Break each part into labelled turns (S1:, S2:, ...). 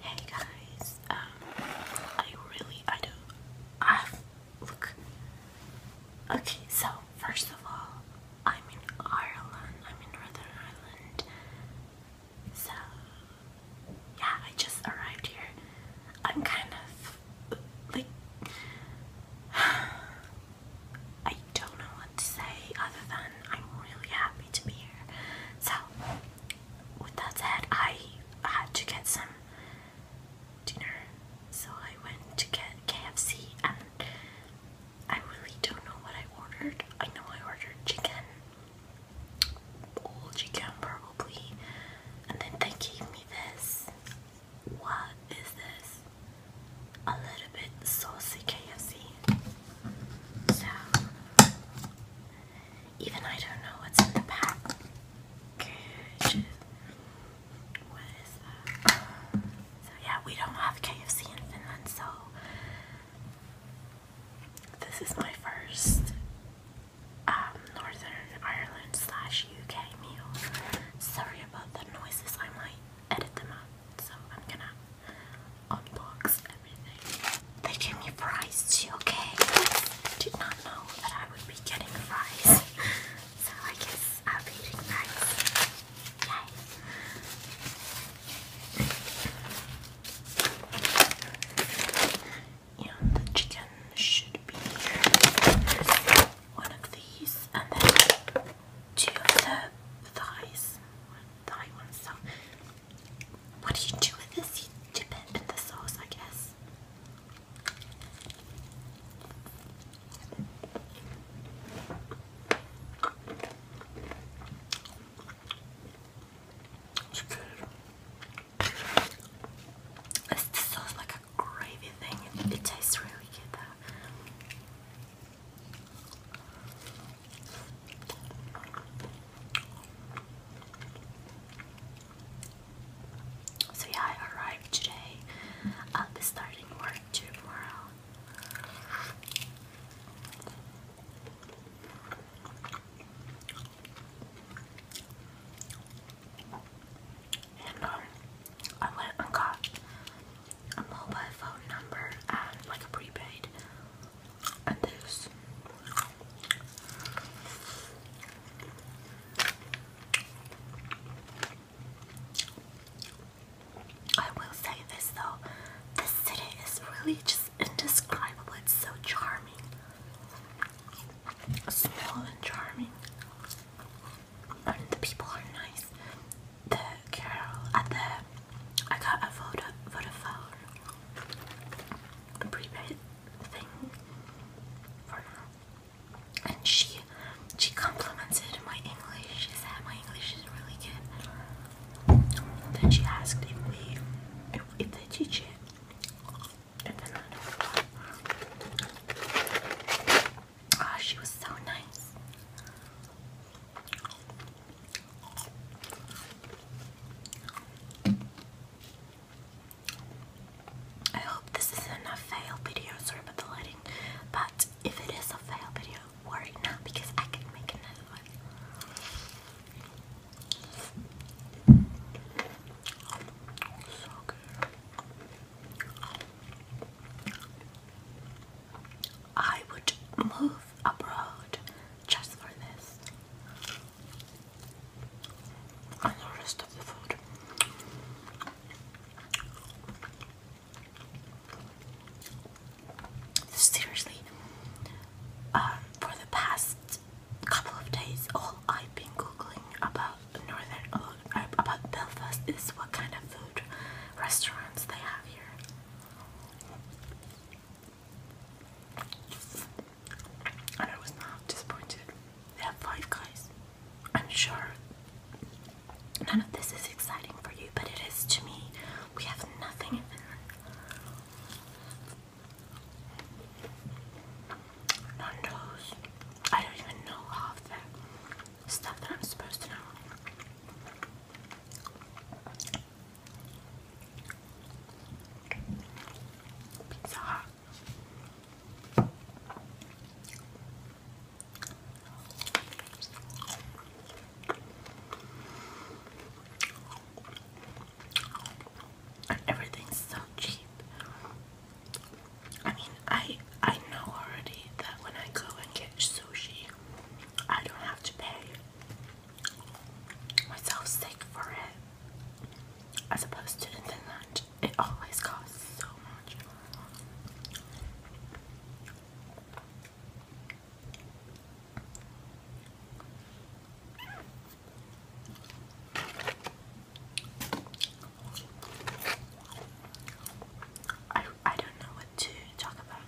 S1: Hey guys, um, I really, I do, I look, okay, so first of all, I'm in Ireland, I'm in Northern Ireland, so, yeah, I just arrived here, I'm kind of, like, I don't know what to say other than I'm really happy to be here, so, with that said, I had to get some dinner, so I went to get KFC, and I really don't know what I ordered. I know I ordered chicken, old chicken probably, and then they gave me this. What is this? A little bit saucy KFC. So, even I don't know what's in the package. What is that? So, yeah, we don't have KFC in Finland, so this is my first um, Northern Ireland slash UK meal. Sorry about the noises, I might edit them out, so I'm gonna unbox everything. They gave me fries too, okay? did not know that I would be getting fries. So I guess I'll be eating fries. Yay! And the chicken should be one of these, and then two of the thighs. One thigh, one so what do you do with this? You dip it in the sauce, I guess. It's good. It's the like a gravy thing. It tastes really good so yeah, I arrived today. I'll be starting work tomorrow. And um, I went and got a mobile phone number and like a prepaid this. I will say this though, this city is really just indescribable. It's so charming. Small and charming. And the people are nice. The girl at uh, the I got a photo, photo phone private thing for now. And she she complimented my English. She said my English is really good. Then she asked if we if, they teach it. Ah, she was so nice. I hope this isn't fail video, sorry about the lighting, but if it is a fail video, worry not because I can make another one. So good. I would move abroad just for this. And the rest of the food. Seriously, um, for the past couple of days, all I've been googling about northern uh, about Belfast is what kind of food restaurants they have here. And I was not disappointed. They have five guys. I'm sure none of this is exciting for you, but it is to me. We have nothing in Finland. Nando's. I don't even know half the stuff that I'm supposed to know. Pizza everything's so cheap. I mean, I I know already that when I go and get sushi, I don't have to pay myself sick for it as opposed to the lunch. It always costs so much. I I don't know what to talk about.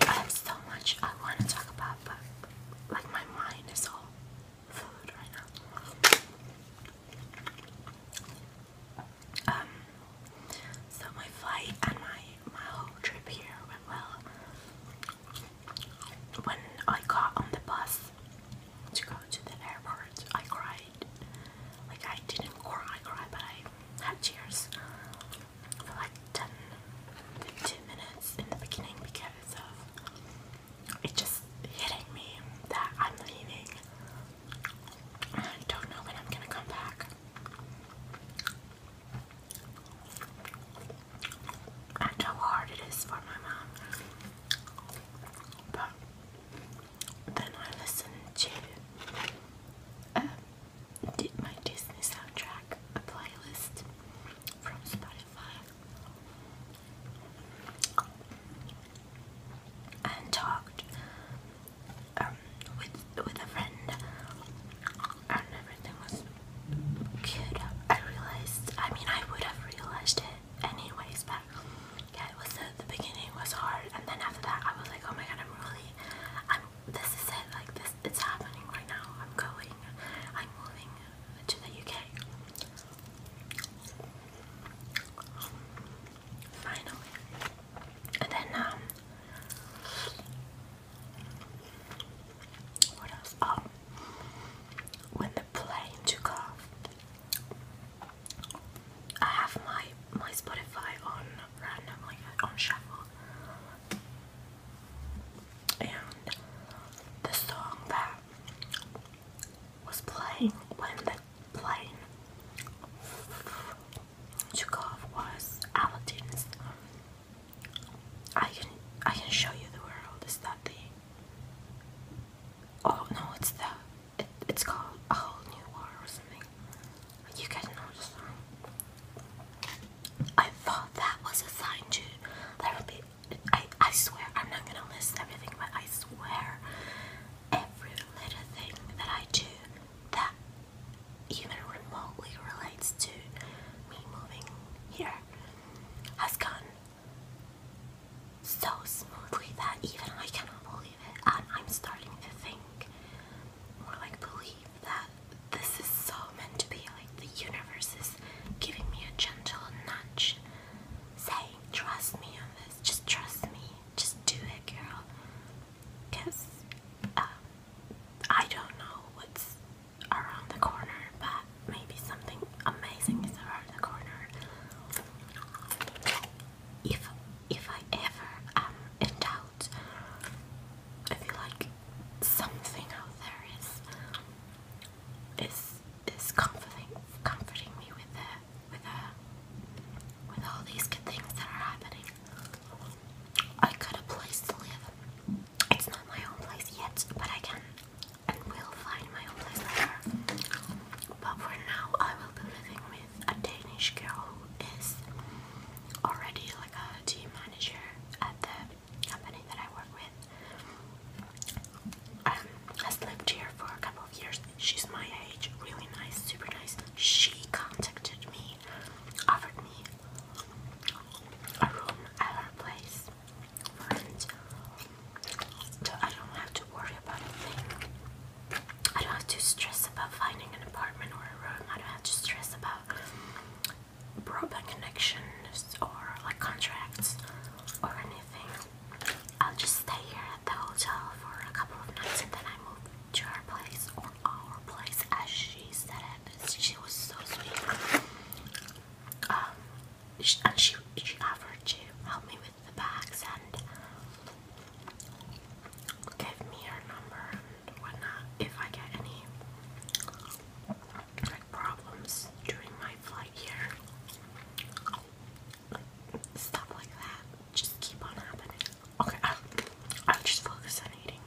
S1: I have so much I want to talk about, but like my mind is all food right now. Um, so my flight and my my whole trip here went well. When I got on the bus to go to the airport, I cried. Like I didn't cry, I but I had tears for like 10 minutes in the beginning because of it just hitting me that I'm leaving. I don't know when I'm gonna come back. I how hard it is for my mom. But then I listened to uh, did my Disney soundtrack, a playlist from Spotify, and talked um, with with a friend, and everything was good. I realized. I mean, I would have realized it anyways, but yeah, it was the, the beginning was hard, and then after that, I was like, oh my god, I'm really, I'm this is it, like this, it's happening right now. I'm going, I'm moving to the UK. Finally. And then, um, what else? Oh, when the plane took off, I have my my Spotify on randomly on shuffle. And the song that was playing when the plane took off was Aladdin's. I can I can show you the world. Is that the? Oh no, it's the. it's called a whole new world or something. You guys know I thought that was a sign too. There would be. I I swear I'm not gonna list everything, but I swear every little thing that I do that even remotely relates to me moving here has gone so smoothly that even I cannot believe it, and I'm starting to think or like believe that this is so meant to be. Like the universe is giving me a gentle nudge, saying, "Trust me on this. Just trust me. Just do it, girl." Cause um, I don't know what's around the corner, but maybe something amazing is around the corner. If if I ever am um, in I feel like something out there is is is comforting comforting me with the with the with all these good things that are happening. I got a place to live. It's not my own place yet, but I can and will find my own place later. But for now I will be living with a Danish girl who is already like a team manager at the company that I work with. has lived here for a couple of years. She's my age, really nice, super nice. She contacted me, offered me a room at her place, and I don't have to worry about a thing. I don't have to stress about finding an apartment or a room. I don't have to stress about broadband connections or like contracts or anything. I'll just stay here at the hotel for a couple of nights and then I move to her place or our place as she said it. She was so sweet. Um, and she, she offered to help me with the bags and gave me her number and whatnot if I get any problems during my flight here. Like, stuff like that just keep on happening. Okay, I'll, just focus on eating.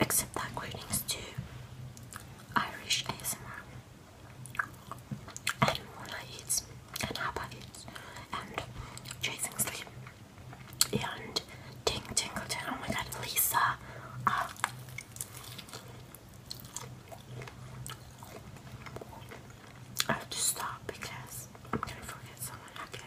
S1: Accept that greetings to Irish ASMR and Mona and Hapa and Chasing Sleep and Ting Tingleton. Oh my god, Lisa. Ah. I have to stop because I'm gonna forget someone again.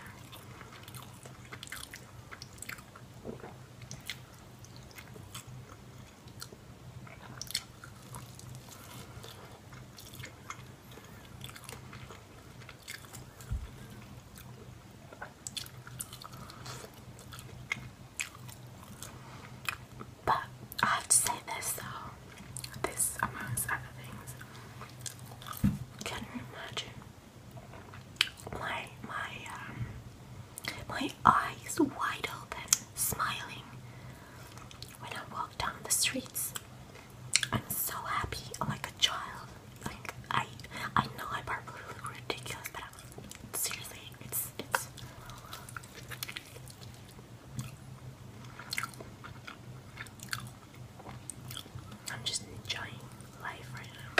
S1: But I have to say this though, this amongst other things. Can you imagine my my um, my eyes wide open, smiling when I walk down the streets. I'm so happy, I'm like a child. I I know I probably look ridiculous, but seriously, it's it's. I'm just enjoying life right now.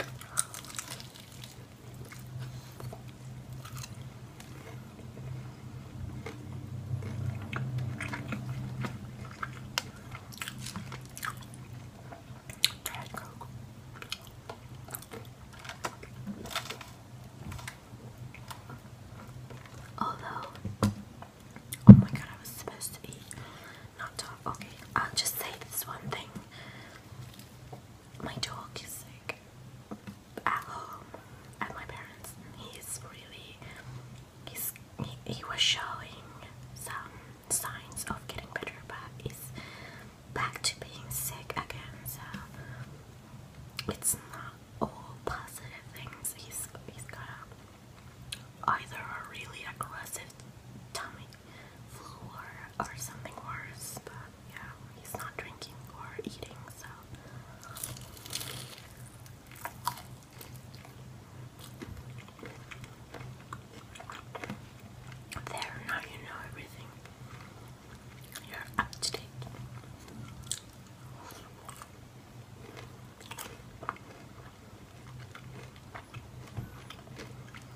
S1: oh my god, I was supposed to eat not talking. Okay, I'll just say this one thing. My dog is sick at home at my parents. He's really he's he, was showing some signs of getting better, but he's back to being sick again. So it's not all positive things. He's he's got either a really aggressive tummy flu or something worse, but yeah, he's not drinking or eating, so. There, now you know everything. You're up to date.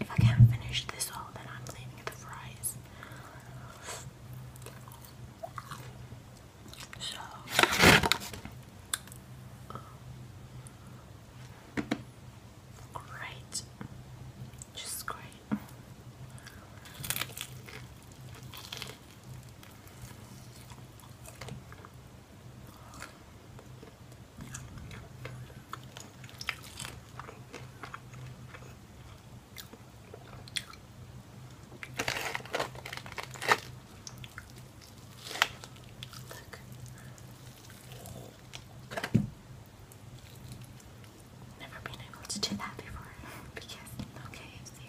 S1: If I can't finish this all, then I'm leaving the fries. So. Great. Just great. Look. Never been able to do that before okay, see.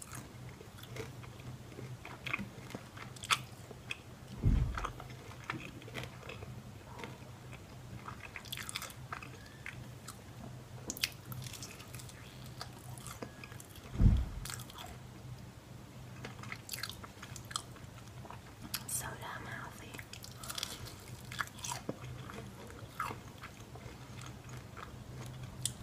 S1: So damn healthy.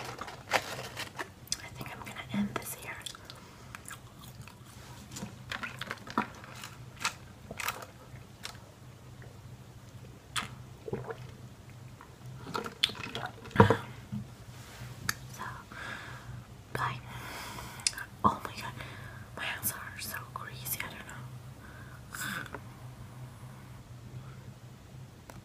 S1: I think I'm going to end this here. So, bye. Oh my god, my hands are so greasy, I don't know.